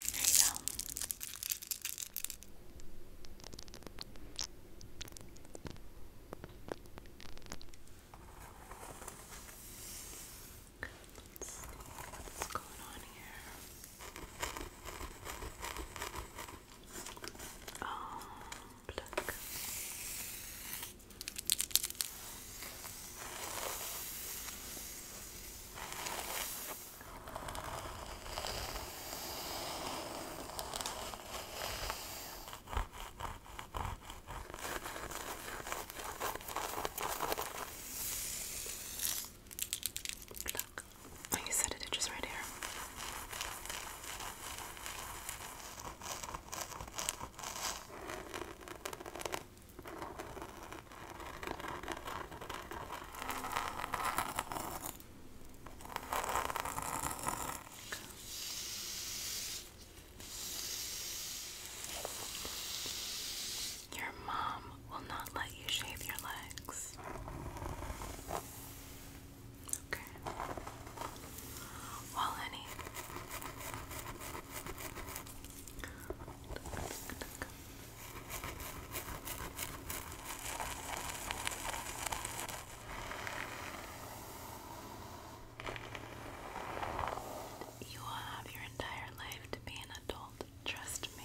There you go. what's going on here. Oh, look. Look, like oh, I said, it itches right here. Your mom will not let you shave your legs. Okay. Well, honey. You will have your entire life to be an adult, trust me.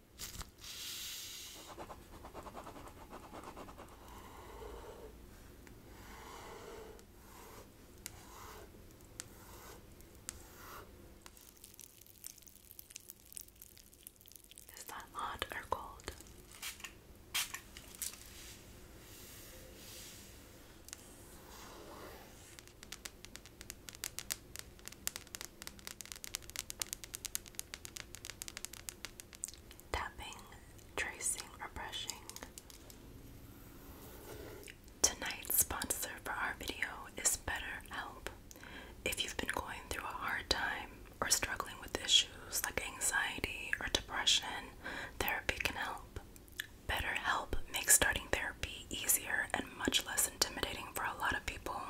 Is that hot or cold? Tapping, tracing, or brushing. Tonight's sponsor for our video is BetterHelp. If you've been going through a hard time or struggling with issues like anxiety or depression, therapy can help. BetterHelp makes starting therapy easier and much less intimidating for a lot of people.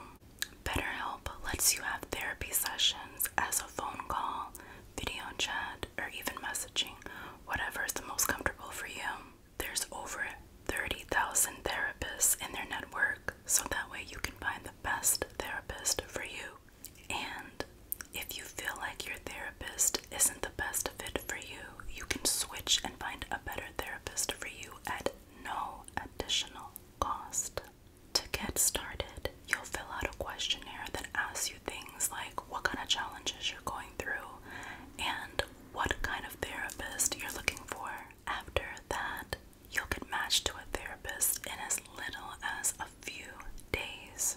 BetterHelp lets you have therapy sessions as a phone call, video chat, or even messaging, whatever is the most comfortable for you. There's over 30,000 therapists in their network, so that way you can find the best therapist for you. And if you feel like your therapist isn't the best fit for you, you can switch and find a better therapist for you at no additional cost. To get started, you'll fill out a questionnaire that asks you things like what kind of challenges you're going through and what kind of therapist you're looking for. After that, you'll get matched to a therapist in as little as a few days.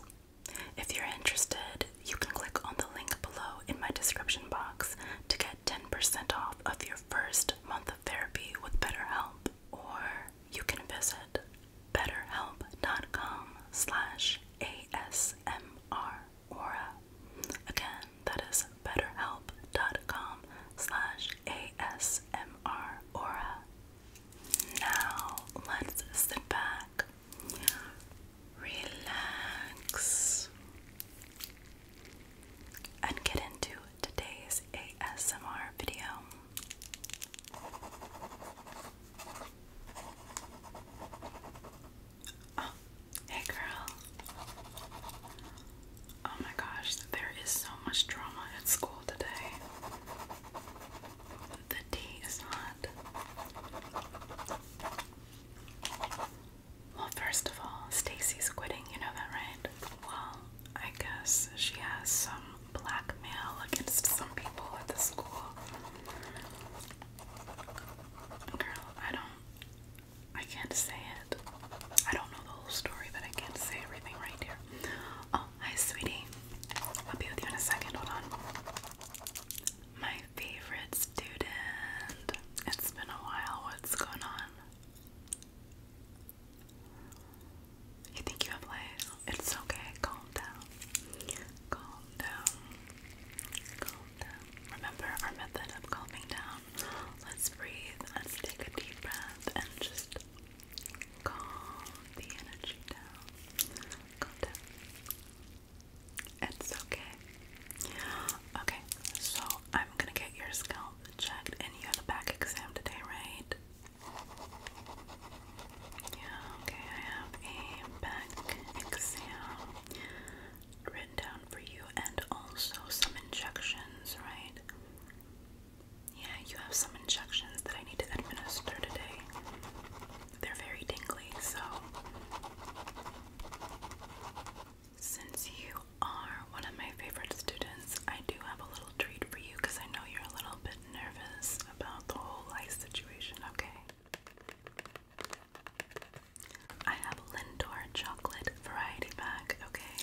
If you're interested, you can click on the link below in my description box to get 10% off of your first month of therapy with BetterHelp. Or you can visit betterhelp.com slash ASMR Again, that is betterhelp.com slash ASMR Now, let's sit back, relax, and get into today's ASMR video. Oh, hey girl. Oh my gosh, there is so much drama at school today. The tea is hot. Well, first of all, Stacy's quitting, you know that, right? Well, I guess she has some blackmail against some people at the school. Girl, I don't I can't say it. I don't know the whole story, but I can't say everything right here. Oh, hi sweetie. I'll be with you in a second, hold on. My favorite student. It's been a while. What's going on? You think you have legs? It's okay. Calm down. Calm down. Calm down. Remember our method of calming down. Let's breathe. Let's take a deep breath and just calm the energy down. Calm down. It's okay. Okay, so I'm gonna get your scalp checked and you have a back exam today, right? Yeah, okay, I have a back exam written down for you and also some injections, right? Yeah, you have some injections that I need to administer today. They're very tingly, so since you are one of my favorite students, I do have a little treat for you because I know you're a little bit nervous about the whole life situation, okay? I have Lindor chocolate variety bag. okay?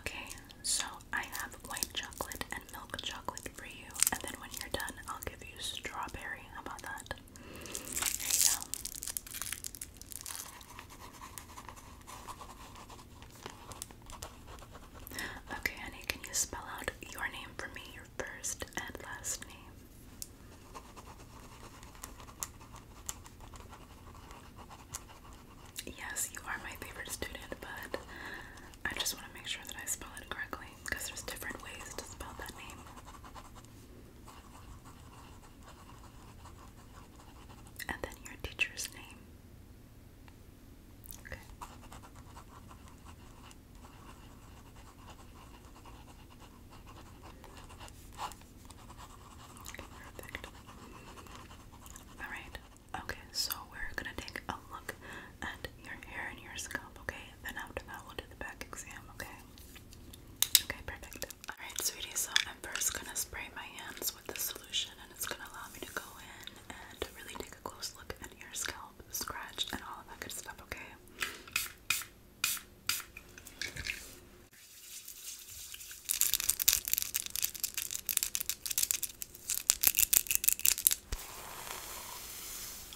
Okay, so I have white chocolate and milk chocolate for you, and then when you're done, I'll give you strawberry. How about that? There you go. Okay, honey, can you spell out your name for me, your first and last name? Yes, you are my favorite student, but I just want to make sure that I spell it correctly because there's different ways to spell that name. And then your teacher's name. Okay. perfect. Alright, okay, so we're gonna take a look at your hair and your scalp, okay? Then after that, we'll do the back exam, okay? Okay, perfect. Alright, sweetie, so I'm first gonna spray my hands with the solution and it's gonna allow me to go in and really a close look at your scalp, scratched, and all of that good stuff, okay?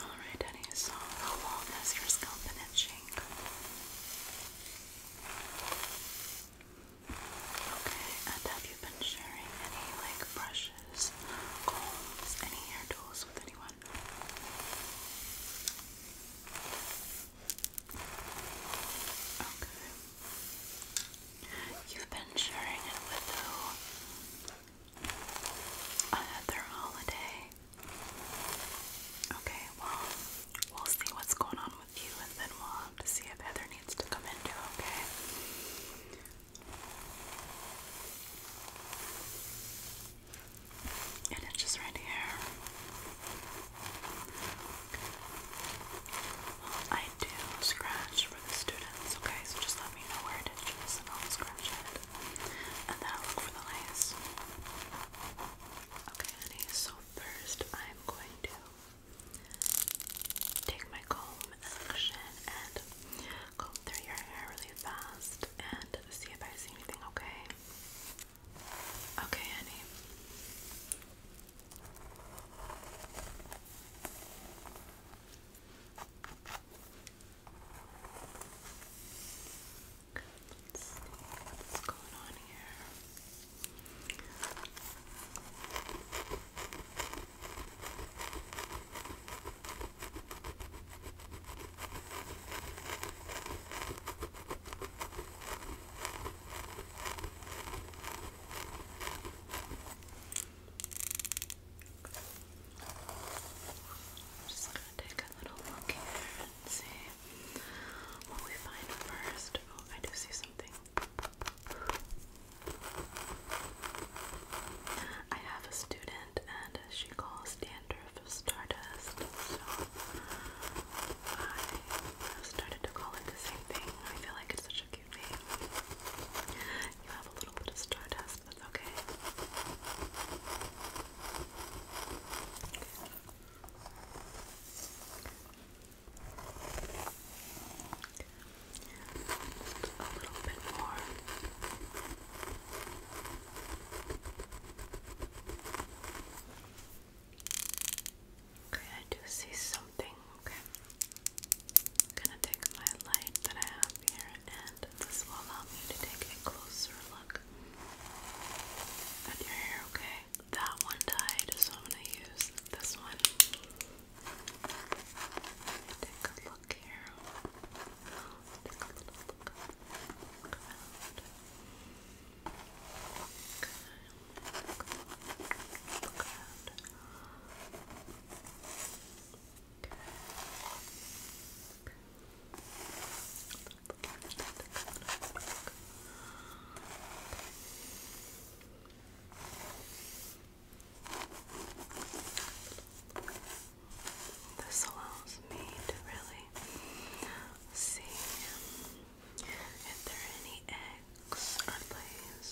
Alright, Denny, so how long has your scalp been itching? Okay, and have you been sharing any like brush brushes, combs, any hair tools with anyone. Okay. You've been sharing it with who? Another holiday. Okay, well, we'll see what's going on with you and then we'll have to see if Heather needs to come in and it's just right here. I do scratch for the students, okay? So just let me know where it and I'll scratch it. And then look for the lace. Okay, honey, so first I'm going to take my comb action and comb through your hair really fast and see if I see anything, okay? Okay, honey. what's going on here. I'm just gonna take a little look here and see what we find first. Oh, I do see something. I have a student and she calls dandruff stardust, so I started to call it the same thing. I feel like it's such a cute name. You have a little bit of stardust, okay. Okay, I do see something. Okay. I'm gonna take my light that I have here and this will allow me to take a closer look at your hair, okay? That one died, so I'm gonna use this one. Take a look here. Take a little look, look around. Okay. Look around. Okay. Okay. This allows me to really see if there any eggs or lays.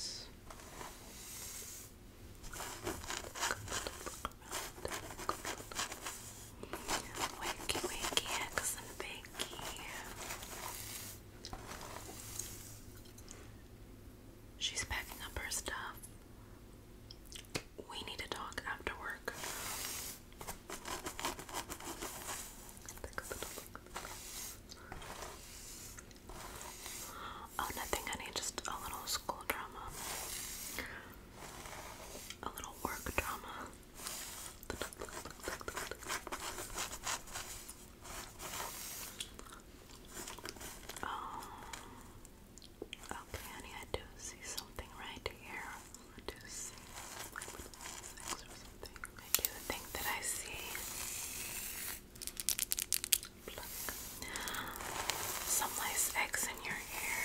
Wakey, wakey, eggs and bakey. She's packing up her stuff. We need to talk after work. Oh, nothing, honey, just a little school drama. A little work drama. Um, Okay, honey, I do see something right here. I do see or something. I do think that I see some nice eggs in your hair.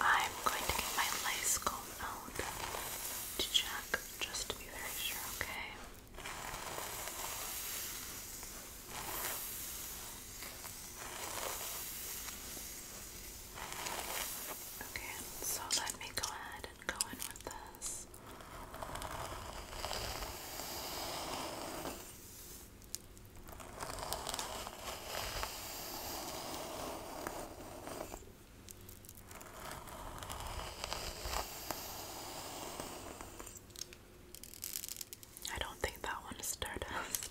I'm going to get my lace comb out to check just to be very sure, okay? Okay, so let me go ahead and go in with this. Okay. I don't think that one is Stardust.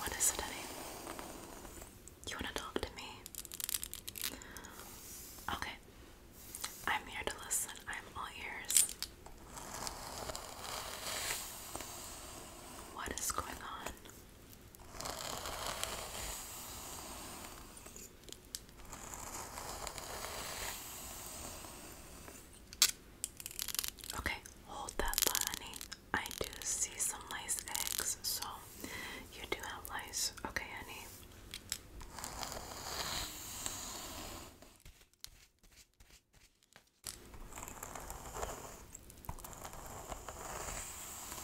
What is it, Eddie? You want to talk to me? Okay. I'm here to listen. I'm all ears. What is going on? Okay, hold that thought, honey. I do see some lice eggs, so you do have lice. Okay, honey.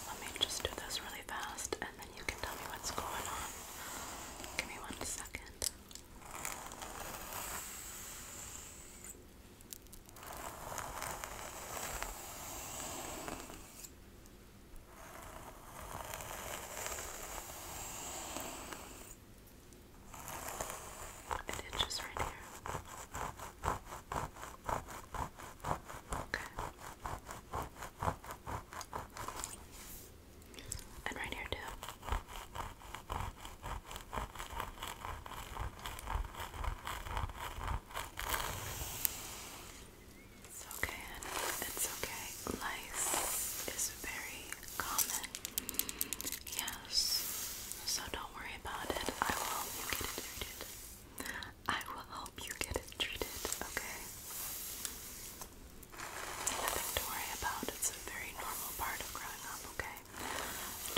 Let me just do this really fast and then you can tell me what's going on. Give me one second. Okay. It itches right here. Okay. And right here, too. It's okay, honey. It's okay. Lice is very common. Yes. So don't worry about it. I will help you get it treated. I will help you get it treated, okay? Nothing to worry about. It's a very normal part of growing up, okay?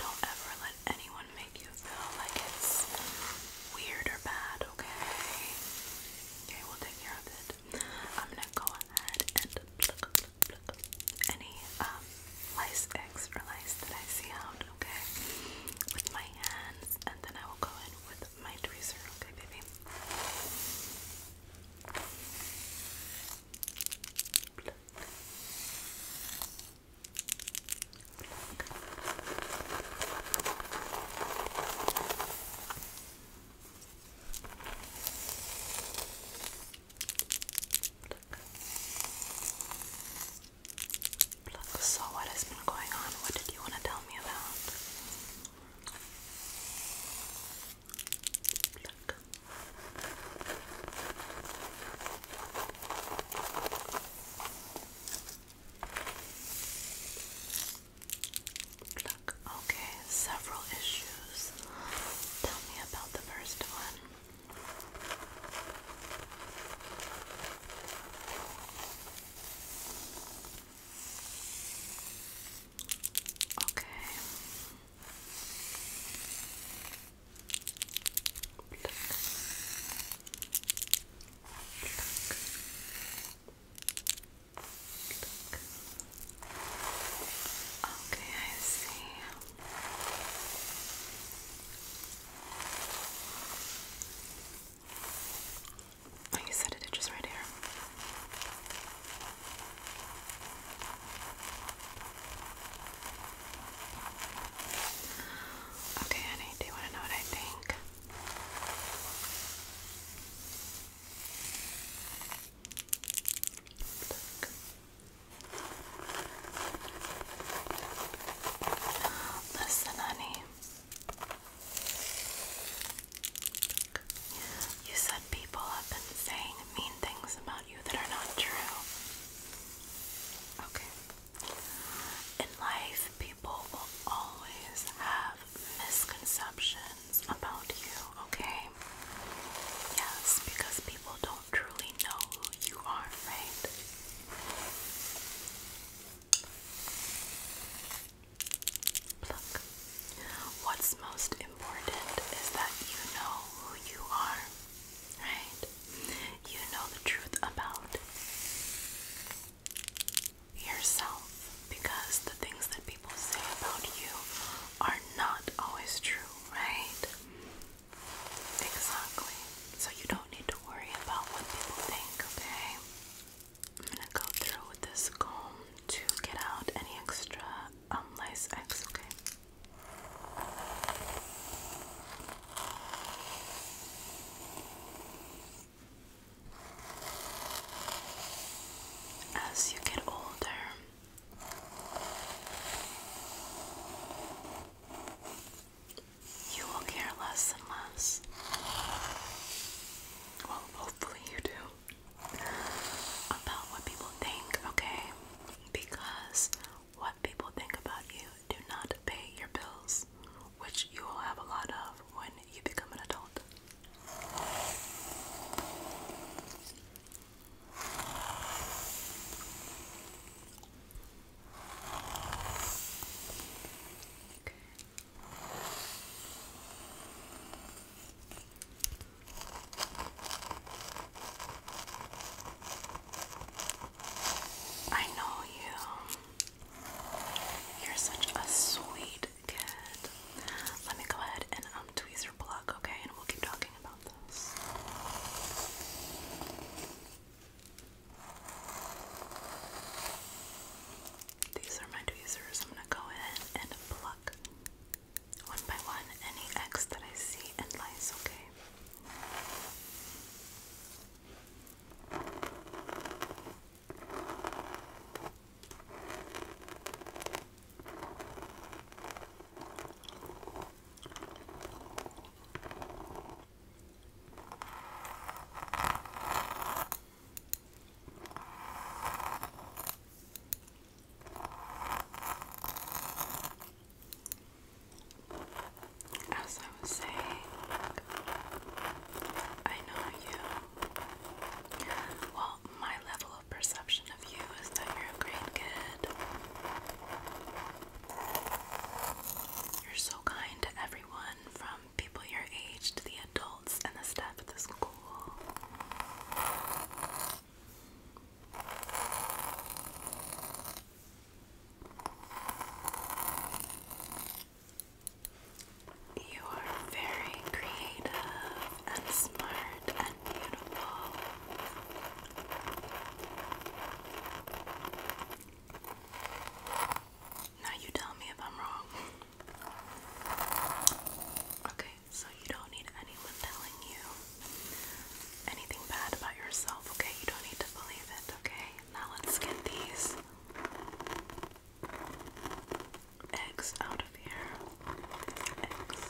Don't ever let anyone make you feel like it's weird or bad, okay? Okay, we'll take care of it. I'm gonna go ahead and look pluck, any um, lice eggs or lice that I see out, okay? With my hands, and then I will go in with my tweezer, okay, baby? Look, so what has been going on? What did you want to tell me about? Look. Okay, several issues. Tell me about the first one. Okay. Okay, I see. Oh, you said it just right here. Okay, honey, do you want to know what I think? Listen, honey. You said people have been saying mean things about you that are not true. Okay. In life, people will always have misconceptions about you, okay? Yes, because people don't truly know who you are, right? Look, what's most important is that you know who you are, right? You know the truth about yourself because the things that people say about you are not always true, right? Exactly. So you don't need to worry about what people think, okay? I'm gonna go through with this comb to get out any extra lice um, X, As you get older, you will care less and less. Well, hopefully, you do. About what people think, okay? Because what people think about you do not pay your bills, which you will have a lot of when you become an adult. I know you. You're such a sweet kid. Let me go ahead and um tweezer pluck, okay? And we'll keep talking about this. These are my tweezers. I'm gonna go in and pluck one by one any X that I see and lice, Okay, as I was saying, I know you. Well, my level perception of you is that you're a great kid. You're so kind to everyone, from people your age to the adults and the staff at the school. You are very creative and smart and beautiful. Now you tell me if I'm wrong. Okay, so you don't need anyone telling you anything bad about yourself, okay? You don't need to believe it, okay? Now let's get these eggs out out of here. X. X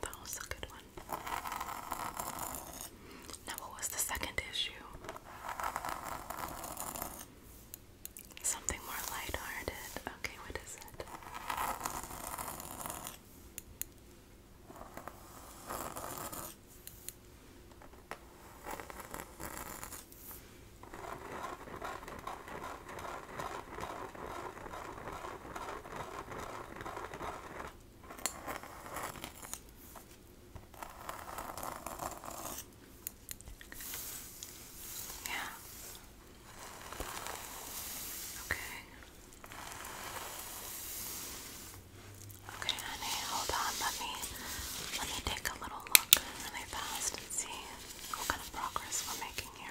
that was a good one. Now, what was the second issue? Something more lighthearted. Okay, what is it? Yeah. Okay. Okay, honey, hold on. Let me let me take a little look really fast see what kind of progress we're making here.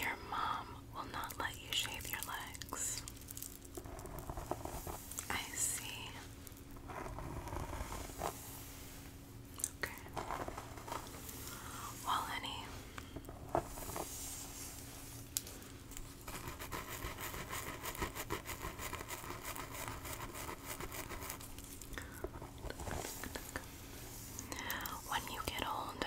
Your mom will not let you shave your legs. I see. Okay. Well, honey. When you get older,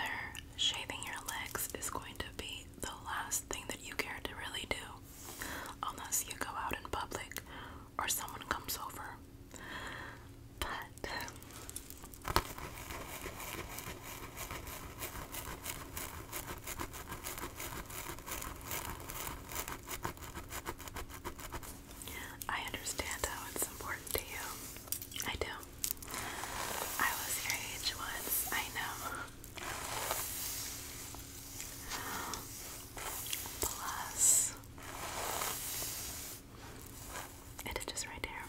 shaving your legs is going to be the last thing that you care to really do. Unless you go out in public or someone comes over. But I understand how it's important to you. I do. I was your age once, I know. Plus, it is just right there.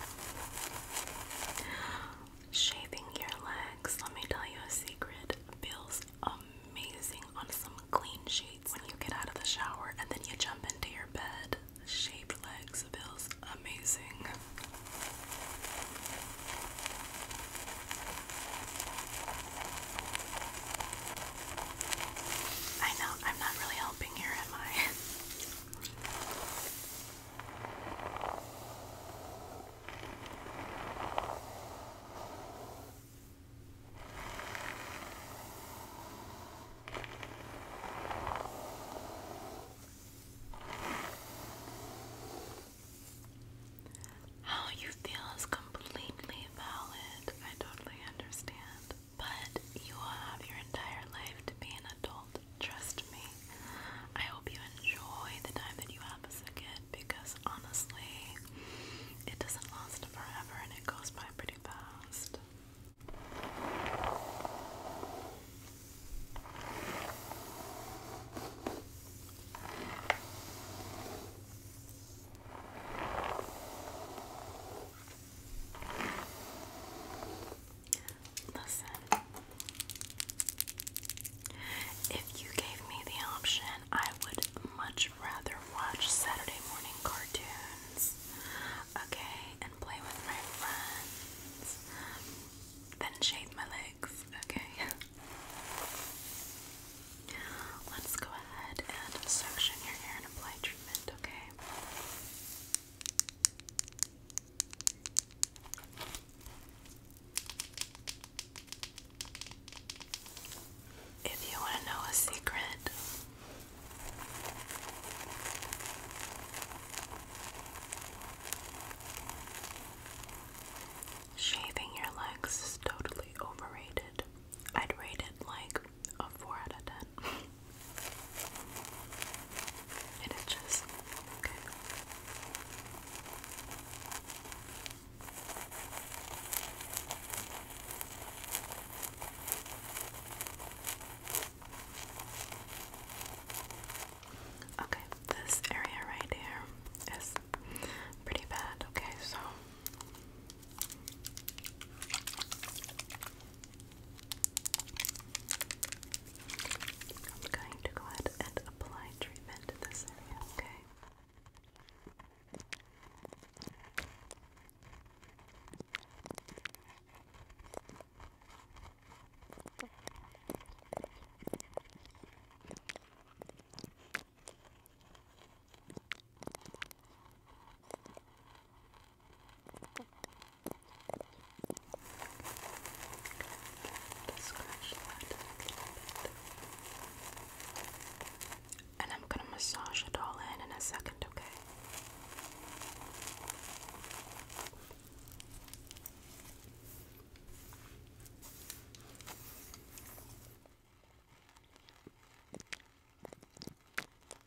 Shaving your legs, let me tell you a secret, feels amazing on some clean sheets when you get out of the shower and then you jump into your bed. Shaved legs feels amazing. I know I'm not really helping here, am I? How you feel is completely valid. I totally understand. But you will have your entire life to be an adult. Trust me. I hope you enjoy the time that you have as a kid because honestly, it doesn't last forever and it goes by pretty fast. Listen, if you gave me the option, I would much rather watch Saturday morning cartoons, okay, and play with my friends than shave my legs, okay? Let's go ahead and section your hair and apply treatment, okay? If you want to know a secret, shaving your legs is totally overrated. I'd rate it like a 4 out of 10. It is just good. Okay, this area right here is pretty bad. Okay, so I'm going to go ahead and apply treatment to this area, Okay. And I'm gonna massage it all in in a second, Okay.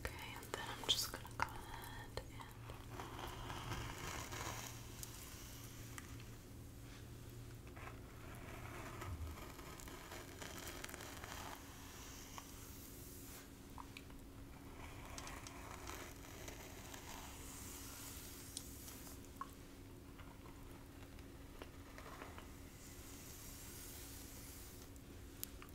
Okay, and then I'm just gonna go ahead and so I'm going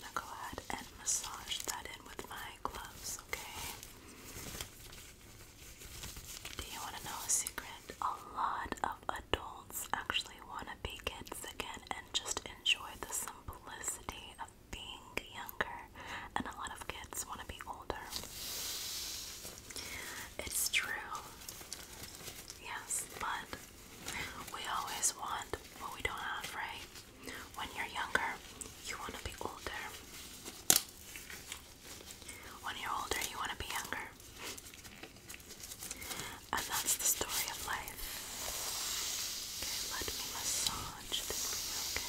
to go ahead and massage that in with my gloves, okay? Do you want to know a secret? A lot of adults actually want to be kids again and just enjoy the simplicity of being younger, and a lot of kids want to be older. It's true, yes, but we always want what we don't have, right? When you're younger, you want to be older. When you're older, you want to be younger. And that's the story of life. Okay, let me massage this for you, okay?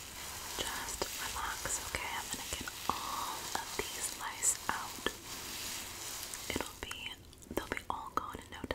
Just relax, okay? I'm gonna get all of these lice out. It'll be, they'll be all gone in no time.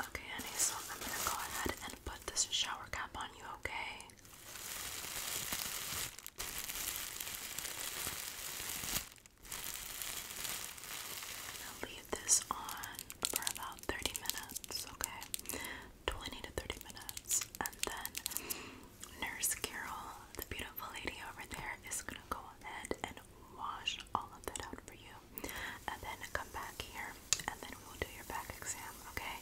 Okay, honey, so I'm gonna go ahead and put this shower cap on you, okay? I'm leave this on for about 30 minutes, okay? 20 to 30 minutes. And then Nurse Carol, the beautiful lady over there, is gonna go ahead and wash all of that out for you. And then come back here and then we will do your back exam, okay?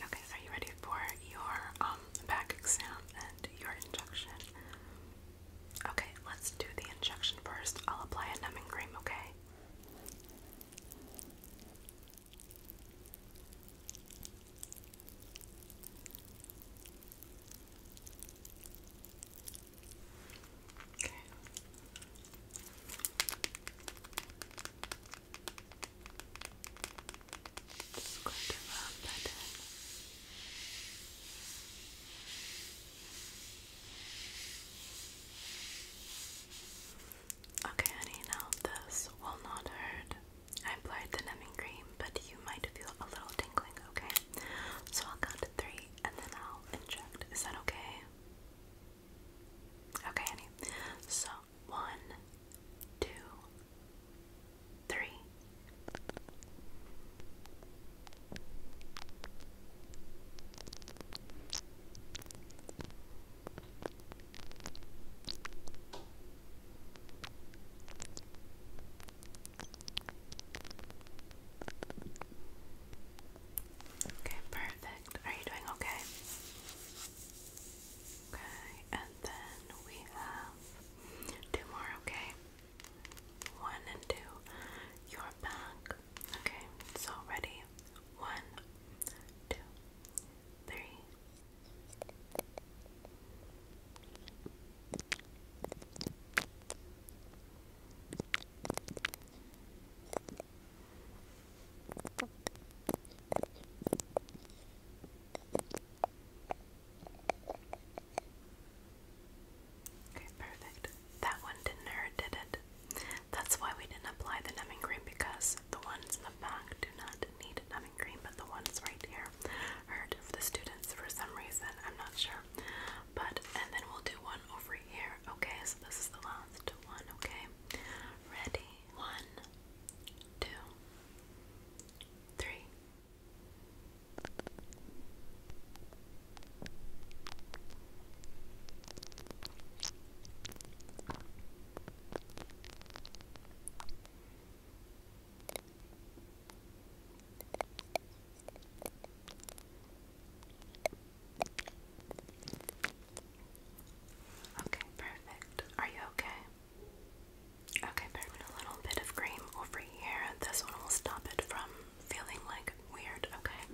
Okay, are you ready for your um back exam and your injection? Okay, let's do the injection first. I'll apply a numbing cream, Okay. Okay. Okay, honey, now this will not hurt. I applied the numbing cream, but you might feel a little tingling, okay? So I'll count to three and then I'll inject. Is that okay? Okay, honey. So one, two, three. Okay, perfect. Are you doing okay? Okay, and then we have two more, okay? One and two. Your back. Okay, so ready. One, two, three. Okay, perfect. That one didn't hurt, did it? That's why we didn't apply the numbing cream because the ones in the back do not need numbing cream, but the ones right here hurt for the students for some reason. I'm not sure. But, and then we'll do one over here. Okay, so this is the last one, okay? Ready? One, two, three. Okay, perfect. Are you okay? Okay, putting a little bit of cream over here. This one will stop it from feeling like weird, okay?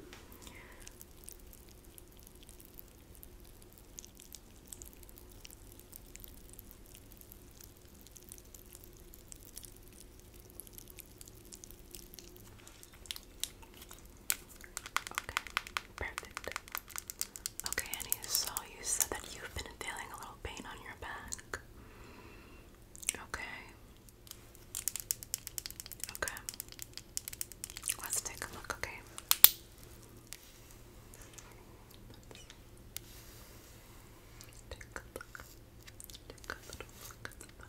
Okay, perfect. Okay, Annie, so you said that you've been feeling a little pain on your back. Okay. Okay. Let's take a look, okay? take a look. Take a little look at the back.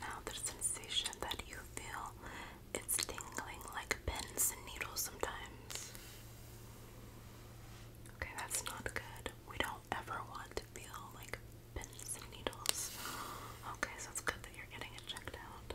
Now the sensation that you feel it's tingling like pins and needles sometimes. Okay, that's not good. We don't ever want to feel like pins and needles. Okay, so it's good that you're getting it checked out.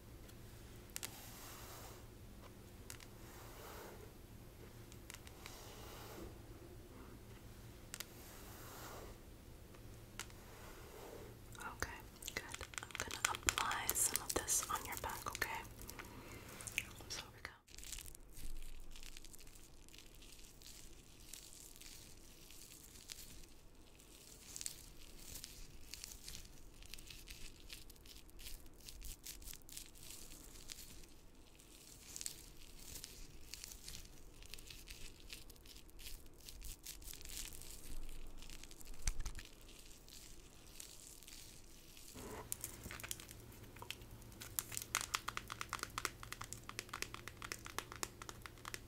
Okay, good. I'm going to apply some of this on your back, okay? here we go. Okay.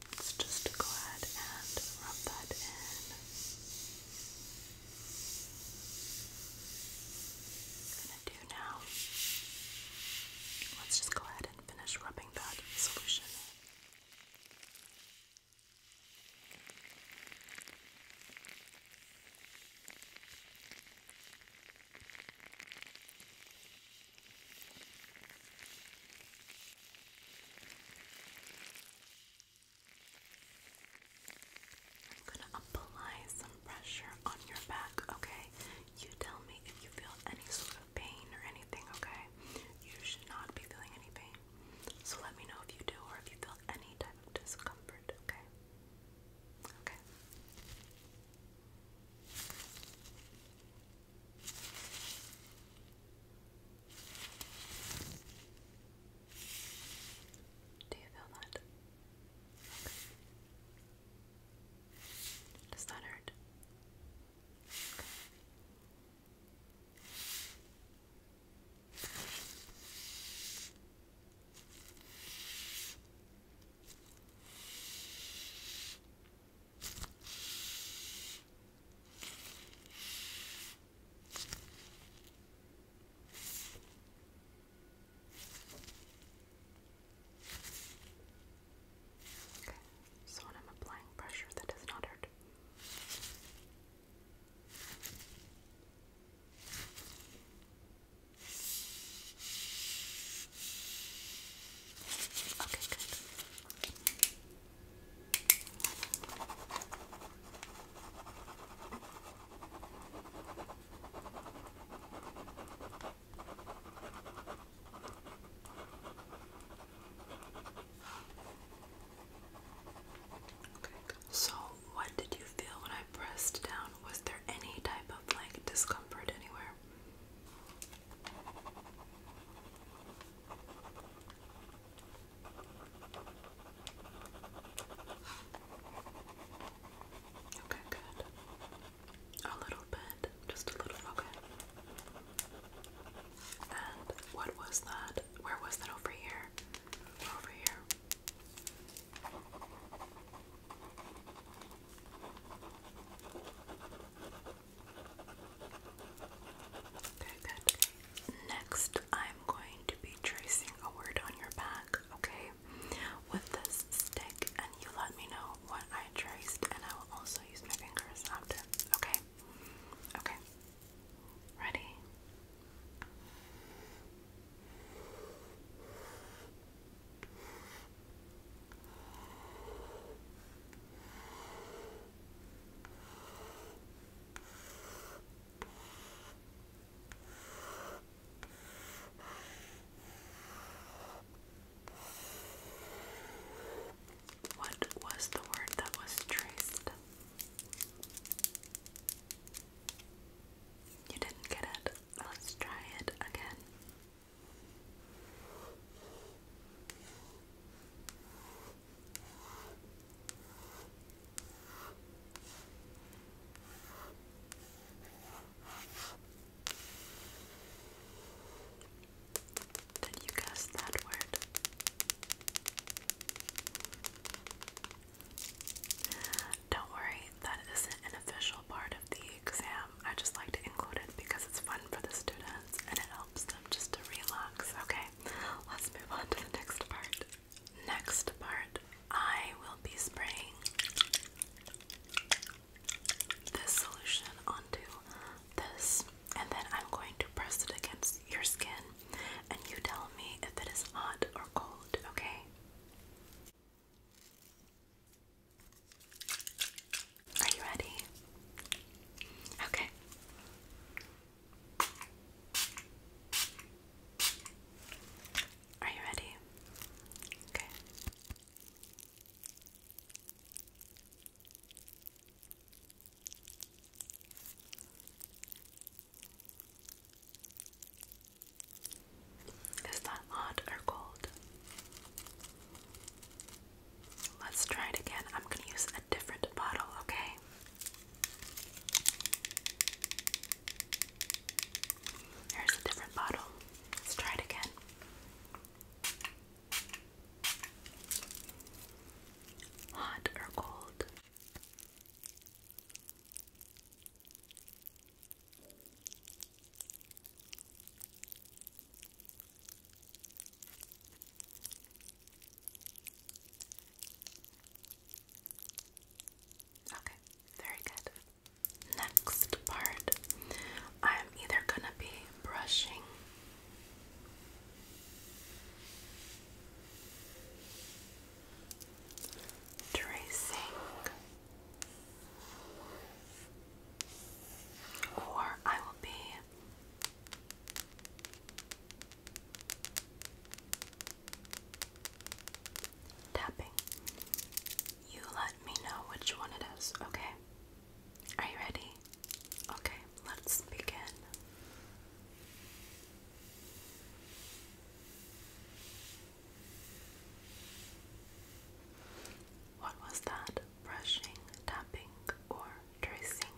Let's just go ahead and rub that in gonna do now, let's just go ahead and finish rubbing that solution I'm gonna apply some pressure on your back, okay? You tell me if you feel any sort of pain or anything, okay? You should not be feeling any pain. So let me know if you do or if you feel any type of discomfort, okay? Okay. Do you feel that? Does that hurt? Okay, so when I'm applying pressure, that does not hurt. Okay, good. Okay. So, what did you feel when I pressed down? Was there any type of like discomfort anywhere? Okay, good. A little bit, just a little, okay. And what was that? Where was that? Over here? Over here. Okay, good. Next, I'm going to be tracing a word on your back, okay? With this stick, and you let me know what I traced, and I will also use my fingers after, okay? Okay. Ready? What was the word that was traced? You didn't get it. Let's try it again. Did you guess that word? Don't worry, that isn't an official part of the exam. I just like to include it because it's fun for the students and it helps them just to relax. Okay, let's move on to the next part. Next part, I will be spraying this solution onto this, and then I'm going to press it against your skin, and you tell me if it is hot or cold, okay? Are you ready? Okay. Are you ready? Okay. Is that hot or cold? Let's try it again. I'm going to use a different bottle, okay? Here's a different bottle. Let's try it again. Hot or cold? Okay, very good. Next part, I'm either gonna be brushing tracing or I will be Tapping. You let me know which one it is, okay? Are you ready? Okay, let's begin. What was that? Brushing, tapping, or tracing?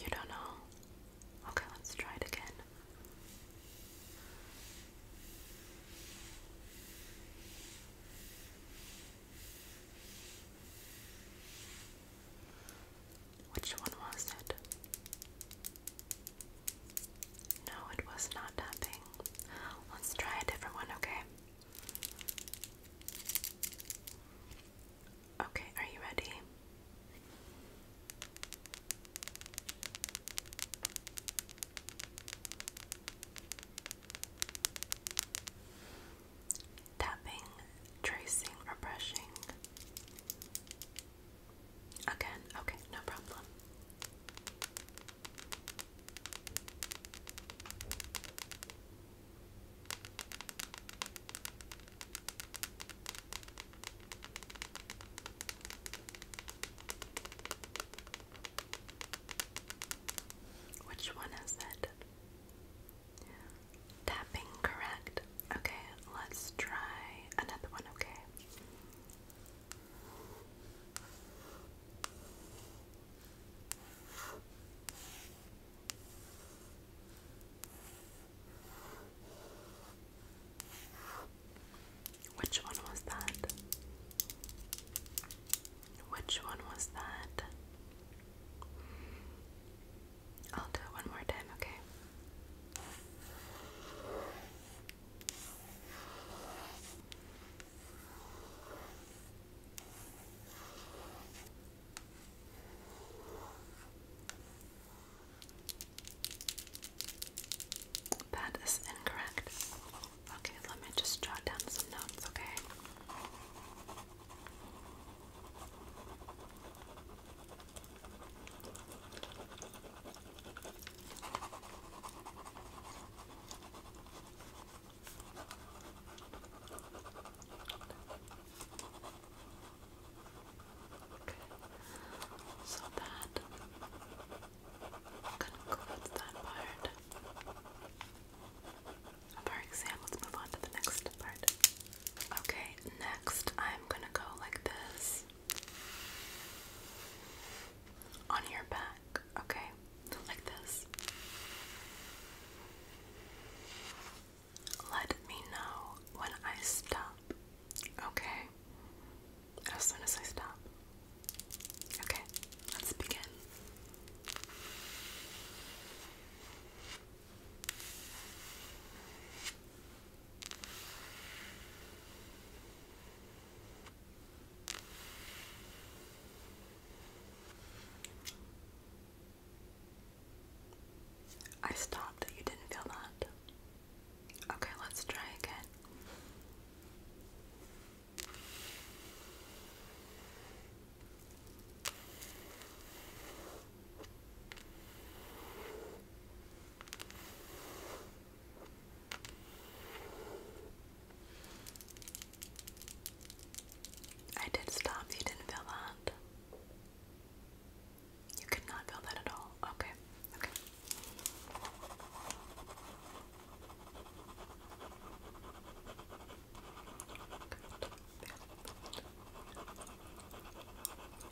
You don't know? Okay, let's try it again. Which one was it? No, it was not tapping. Let's try a different one, okay? Okay, are you ready? Tapping, tracing, or brushing. Again, okay, no problem. Which one is it? Tapping, correct. Okay, let's try another one, okay? Which one was that? Which one was that? I'll do it one more time, okay? That is incorrect. Okay, let me just jot down some notes, okay? Okay. So that concludes that part of our exam. Let's move on to the next part. Okay, next I'm gonna go like this on your back, okay? Like this. Let me know when I stop. Okay? As soon as I stop. Okay, let's begin. I stopped. You didn't feel that? Okay, let's try again. I did stop. You didn't feel that? You could not feel that at all. Okay, okay.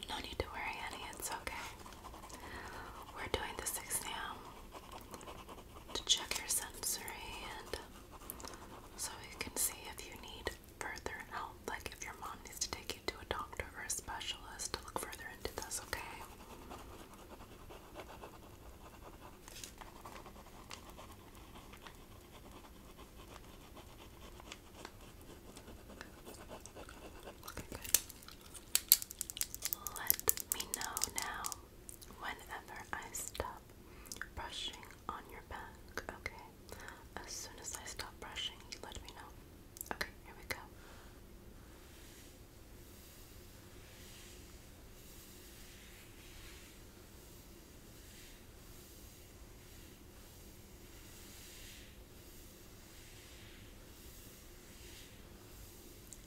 No need to worry, Annie, it's okay. We're doing the six now to check your sensory and so we can see if you need further help, like if your mom needs to take you to a doctor or a specialist to look further into this, okay? Let me know now whenever I stop brushing on your back, okay? As soon as I stop brushing, you let me know. Okay, here we go.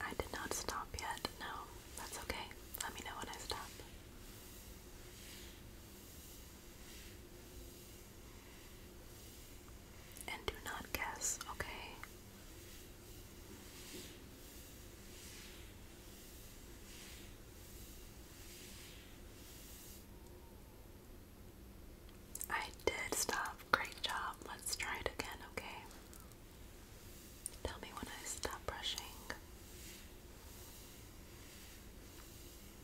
I did not stop yet. No, that's okay. Let me know when I stop. And do not guess, okay? I did stop. Great job. Let's try it again, okay? Tell me when I stop brushing.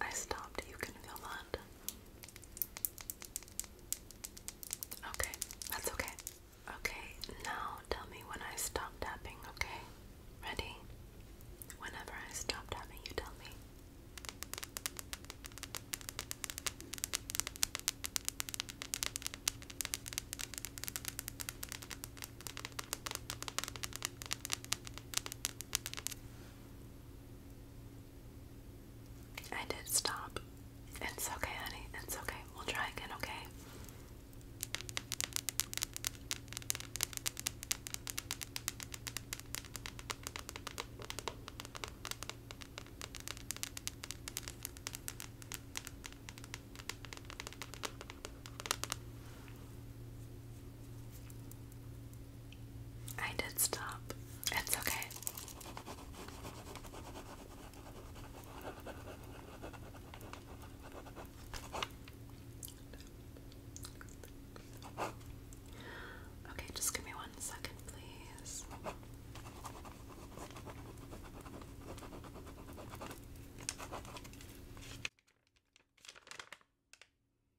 I stopped. You can feel that. Okay, that's okay. Okay, now tell me when I stop tapping, okay? Ready? Whenever I stop tapping, you tell me. I did stop. It's okay, honey. It's okay. We'll try again, okay? I did stop. It's okay. Okay, just give me one second, please.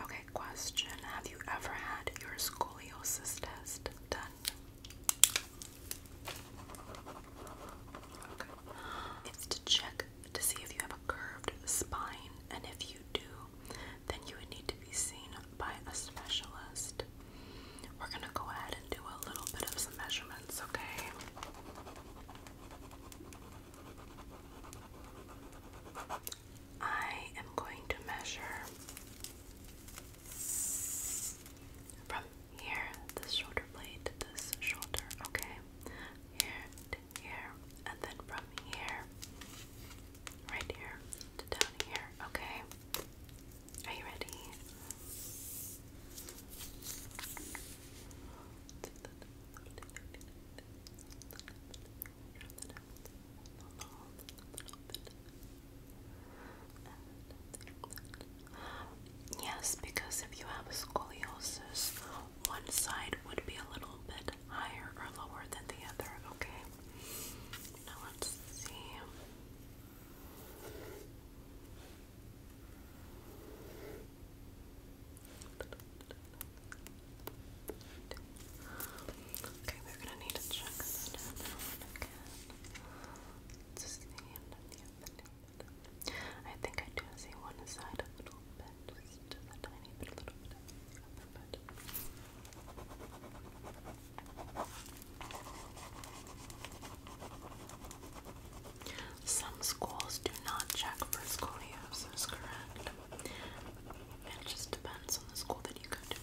Okay, question. Have you ever had your scoliosis test done? It's to check to see if you have a curved spine, and if you do, then you would need to be seen by a specialist. We're going to go ahead and do a little bit of some measurements, okay? I am going to measure from here, this shoulder blade to this shoulder, okay? Here here, and then from here, right here to down here, okay? Are you ready? yes, because if you have a scoliosis, one side would be a little bit higher or lower than the other, okay? Now let's see. Okay, we're gonna need to check this again. To see I think I do see one side a little bit, just a tiny bit, a little bit. Some schools do not check for scoliosis, correct? It just depends on the school that you go to.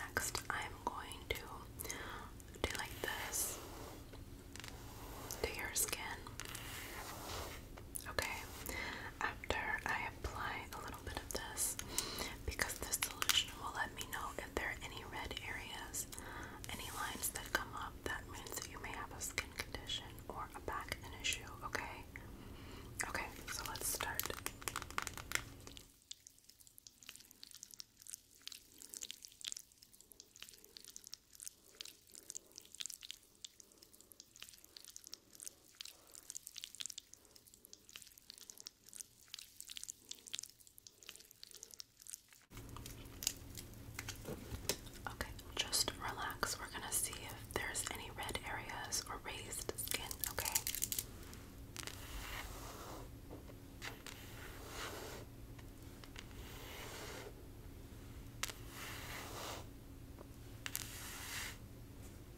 Next, I'm going to do like this to your skin. Okay, after I apply a little little bit of this because this solution will let me know if there are any red areas, any lines that come up. That means that you may have a skin condition or a back issue, okay? Okay, so let's start. Okay, just relax. We're gonna see if there's any red areas or raised skin, okay?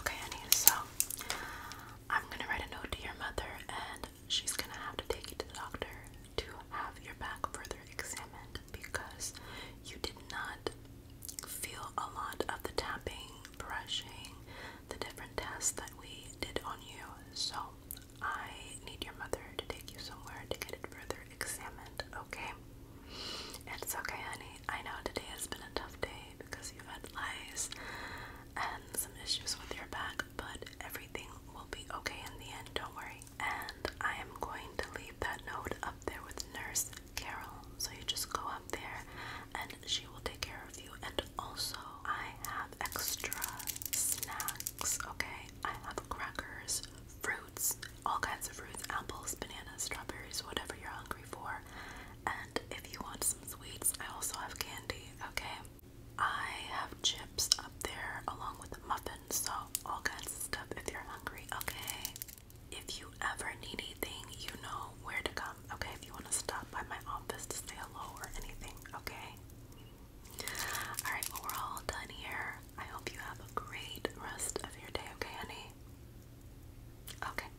Okay, honey, so I'm gonna write a note to your mother, and she's gonna have to take you to the doctor to have your back further examined because you did not feel a lot of the tapping, brushing, the different tests that we did on you. So, I need your mother to take you somewhere to get it further examined, okay? It's okay, honey. I know today has been a tough day because you've had lice and some issues with your back, but everything will be okay in the end, don't worry. And I am going to leave that note up there with Nurse Carol. So you just go up there and she will take care of you. And also, I have extra snacks, okay? I have crackers, fruits, all kinds of fruits, apples, bananas, strawberries, whatever you're hungry for. And if you want some sweets, I also have candy, okay? I have chips up there along with the muffins, so all kinds of stuff if you're hungry, okay? If you ever need anything, you know where to come, okay? If you want to stop by my office to say hello or anything, okay? Alright, well, we're all done here. I hope you have a great rest of your day, okay, honey? Okay.